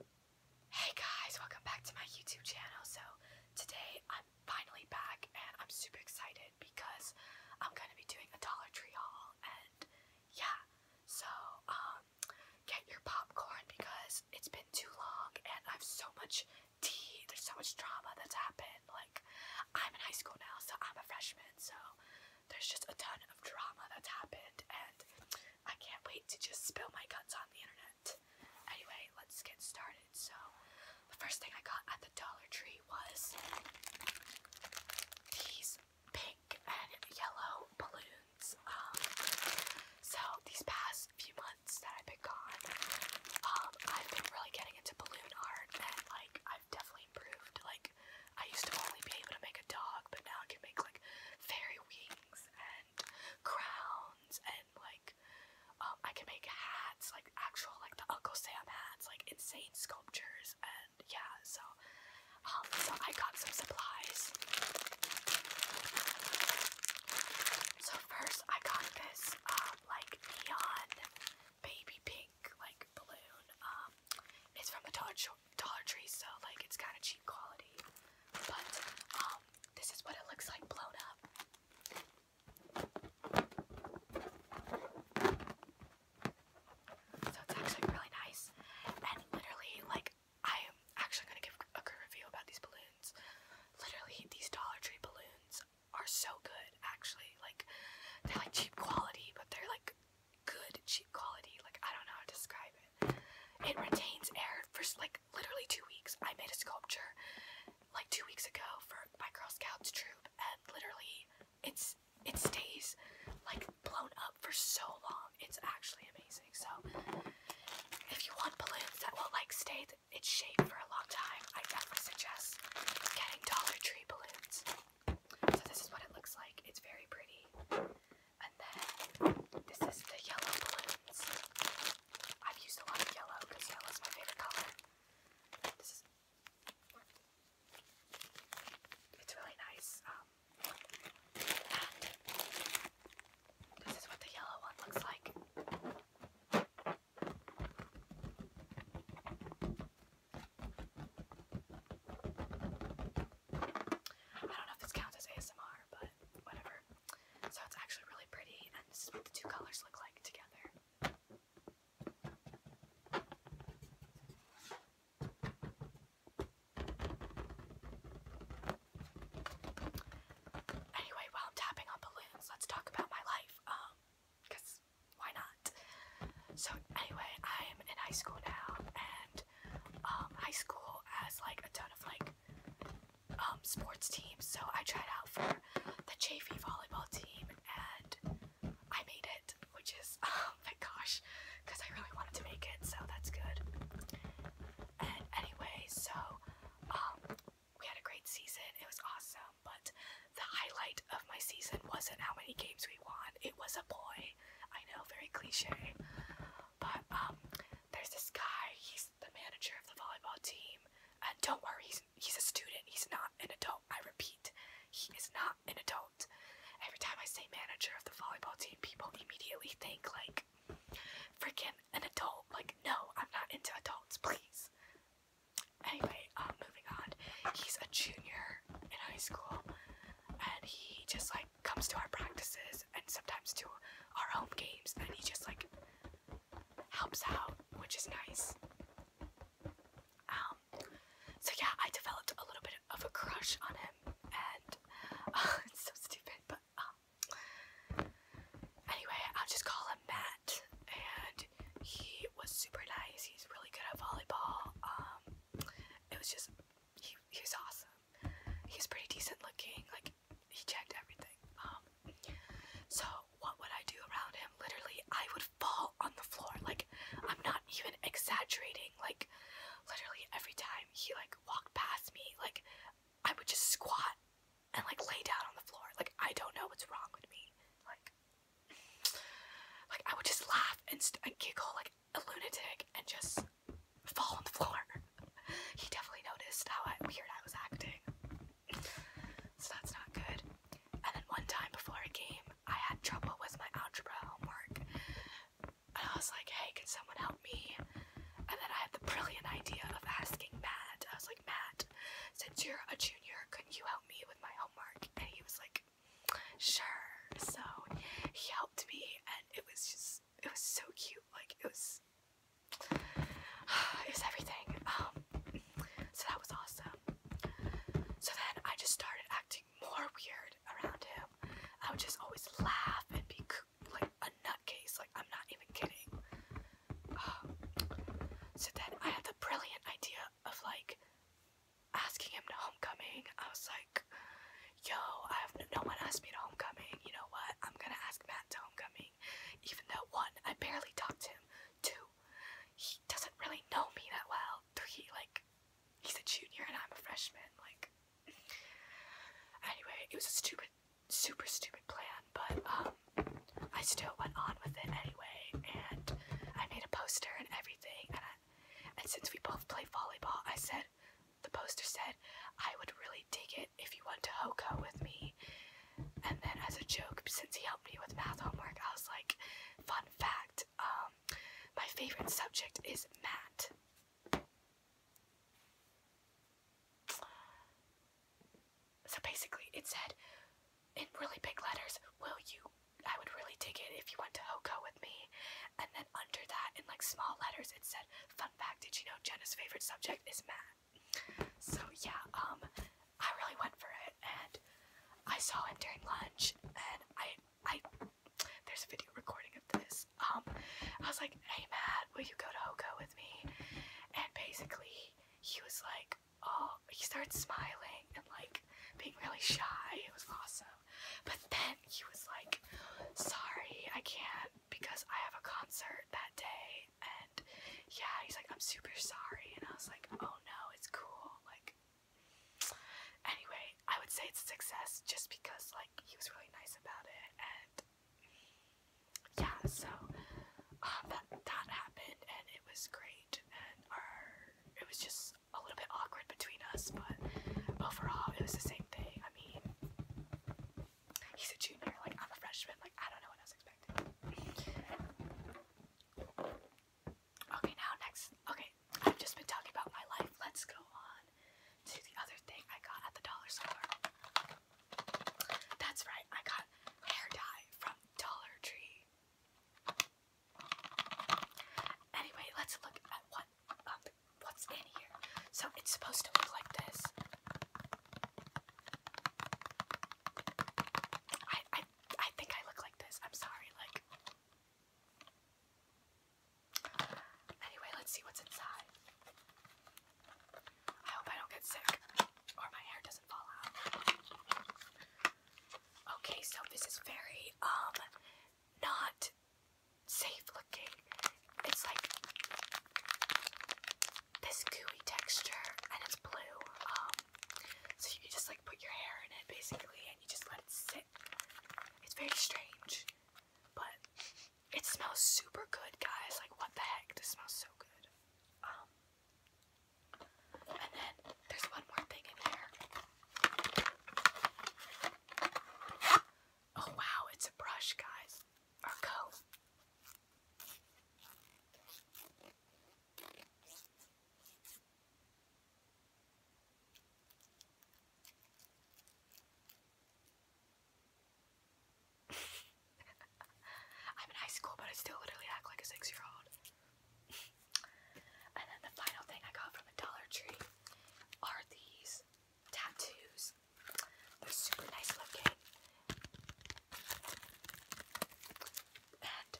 Hey guys, welcome back to my YouTube channel. So today I'm finally back and I'm super excited because I'm gonna be doing a Dollar Tree haul and yeah, so um get your popcorn because it's been too long and I've so much tea, there's so much drama that's happened. Like I'm in high school now, so I'm a freshman, so there's just a ton of drama that's happened and I can't wait to just spill my guts on the internet. Anyway, let's get started. So, the first thing I got at the Dollar Tree was these pink and yellow balloons. Um, so, these past few months that I've been gone, um, I've been really getting into balloon art and like I've definitely improved. Like, I used to only be able to make a dog, but now I can make like fairy wings and crowns and like um, I can make hats, like actual like the Uncle Sam hats, like insane sculptures and yeah, so um, so I got some supplies. So first I got this um, like neon baby pink like balloon. it's from the Todd Short Dollar Tree, so like it's kind of cheap quality. But um, this is what it looks like blown up. So it's actually really nice. And literally, like, I am actually gonna give a good review about these balloons. Literally, these Dollar Tree balloons are so good, actually. Like, they're like cheap quality, but they're like good cheap quality. Like I don't know how to describe it. It retains air for like literally two weeks. I made a sculpture like two weeks ago for my Girl Scouts troop, and literally it's it stays like blown up for so long. It's actually amazing. So if you want balloons that will like stay its shape for a long time, I definitely suggest getting Dollar Tree balloons. So this is what it looks like. It's very pretty. And then this is the yellow balloons. I've used a lot of yellow because yellow is my favorite color. This is it's really nice. Um, and this is what the yellow one looks like. I don't know if this counts as ASMR, but whatever. So it's actually really pretty, and this is what the two colors look like together. Anyway, while I'm tapping on balloons, let's talk about my life. Um, because why not? So anyway, I'm in high school now, and um, high school has like a ton of like um, sports teams. So I tried out for the JV volleyball team, and I made it, which is oh my gosh, because I really wanted to make it. So that's good. And anyway, so um, we had a great season. It was awesome, but the highlight of my season wasn't how many games we won, it was a boy. I know, very cliche. But um there's this guy, he's the manager of the volleyball team. And don't worry, he's he's a student, he's not an adult. I repeat, he is not an adult. Every time I say manager of the volleyball team, people immediately think like freaking an adult. Like, no, I'm not into adults, please. Anyway, um, moving on. He's a junior in high school, and he just like comes to our practices and sometimes to our home games and he just like helps out, which is nice. Um, so yeah, I developed a little bit of a crush on him, and uh, it's so stupid, but um, anyway, I'll just call him Matt, and he was super nice. He's really good at volleyball. Um, it was just he, he was awesome. He's pretty decent looking. Like he checked everything. Um, so what would I do around him? Literally, I would fall on the floor. Like I'm not even exaggerating. Like literally every time he like walked past me, like I would just squat and like lay down on the floor. Like I don't know what's wrong with me. Like like I would just laugh and, giggle like a lunatic and just fall on the floor. he definitely noticed how weird I was acting, so that's not good. And then one time before a game, I had trouble with my algebra homework, and I was like, "Hey, can someone help me?" And then I had the brilliant idea of asking Matt. I was like, "Matt, since you're a junior, couldn't you help me with my homework?" And he was like, sure. So he helped me, and it was just, it was so cute. Like, it was, it was everything. Um, so that was awesome. So then I just started acting more weird around him. I would just always laugh and be like a nutcase. Like, I'm not even kidding. so then I had the brilliant idea of like asking him to homecoming. I was like, yo, I have no one asked me to homecoming. You know what? I'm gonna ask Matt to homecoming. Even though one, I barely talked to him. Two, he doesn't really know me that well. Three, like, he's a junior and I'm a freshman. Like, anyway, it was a stupid, super stupid plan, but um, I still went on with it anyway, and I made a poster and everything. And since we both play volleyball, I said the poster said I would really dig it if you went to Hoko with me. And then as a joke, since he helped me with math homework, I was like, fun fact, um, my favorite subject is math. So basically, it said in really big letters, Will you? I would really dig it if you went to Hoko with me. And then under that, in like small letters, it said, Fun fact, did you know Jenna's favorite subject is math? So yeah, um, I really went for it and I saw him during lunch and I I there's a video recording of this. Um I was like, Hey Matt, will you go to Hoko with me? And basically he was like, oh, he started smiling and like being really shy. It was awesome. But then he was like, sorry, I can't because I have a concert that day. And yeah, he's like, I'm super sorry. And I was like, oh no, it's cool. Like, anyway, I would say it's a success just because like he was really nice about it. And yeah, so uh, that, that happened and it was great and our it was just a little bit awkward between us, but overall it was the same thing. I mean, he's a junior, like I'm a freshman, like I don't know what I was expecting. Okay, now next. Okay, I've just been talking about my life. Let's go on to the other thing I got at the dollar store. That's right, I got hair dye from Dollar Tree. Anyway, let's look at what um, what's in here. So it's supposed to look like this. I I I think I look like this. I'm sorry, like Anyway, let's see what's inside. I hope I don't get sick or my hair doesn't fall out. Okay, so this is very, um, not safe looking. It's like this gooey texture and it's blue. Um, so you just like put your hair in it basically and you just let it sit. It's very strange, but it smells super good, guys. Like, what the heck? This smells so good. Um, and then there's one more thing in here. Oh wow, it's a brush, guys. Or I'm in high school, but I still literally act like a six year old. and then the final thing I got from the Dollar Tree are these tattoos. They're super nice looking. And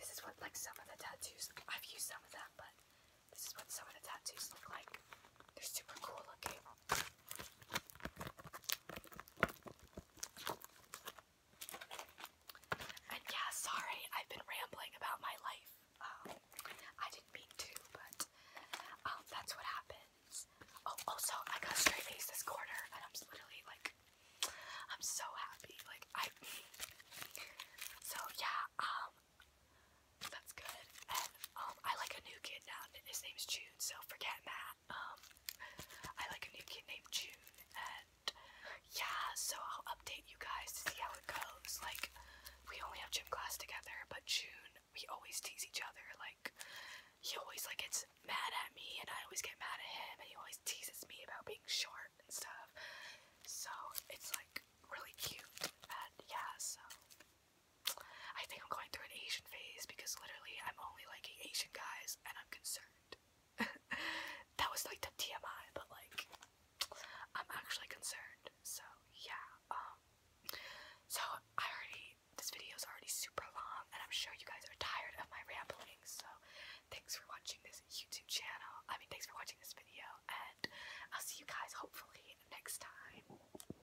this is what, like, some of the tattoos I've used some of them, but this is what some of the tattoos look like. They're super cool looking yeah, sorry, I've been rambling about my life. Um, I didn't mean to, but um, that's what happens. Oh, also, I got straight A's this quarter, and I'm literally like, I'm so happy. Like, I. So yeah, um, that's good. Um, I like a new kid now. His name's June, so forget Matt. Um, I like a new kid named June, and yeah, so I'll update you guys to see how it goes. Like, we only have gym class together, but June, we always tease each other. Like, he always like gets mad at me, and I always get mad at him, and he always teases me about being short and stuff. So it's like really cute, and yeah, so I think I'm going through an Asian phase because literally I'm only liking Asian guys and I'm concerned. that was like the TMI, but like I'm actually concerned. So yeah, um, so I already this video is already super long and I'm sure you guys are tired of my rambling, so thanks for watching this YouTube channel. I mean thanks for watching this video and I'll see you guys hopefully next time.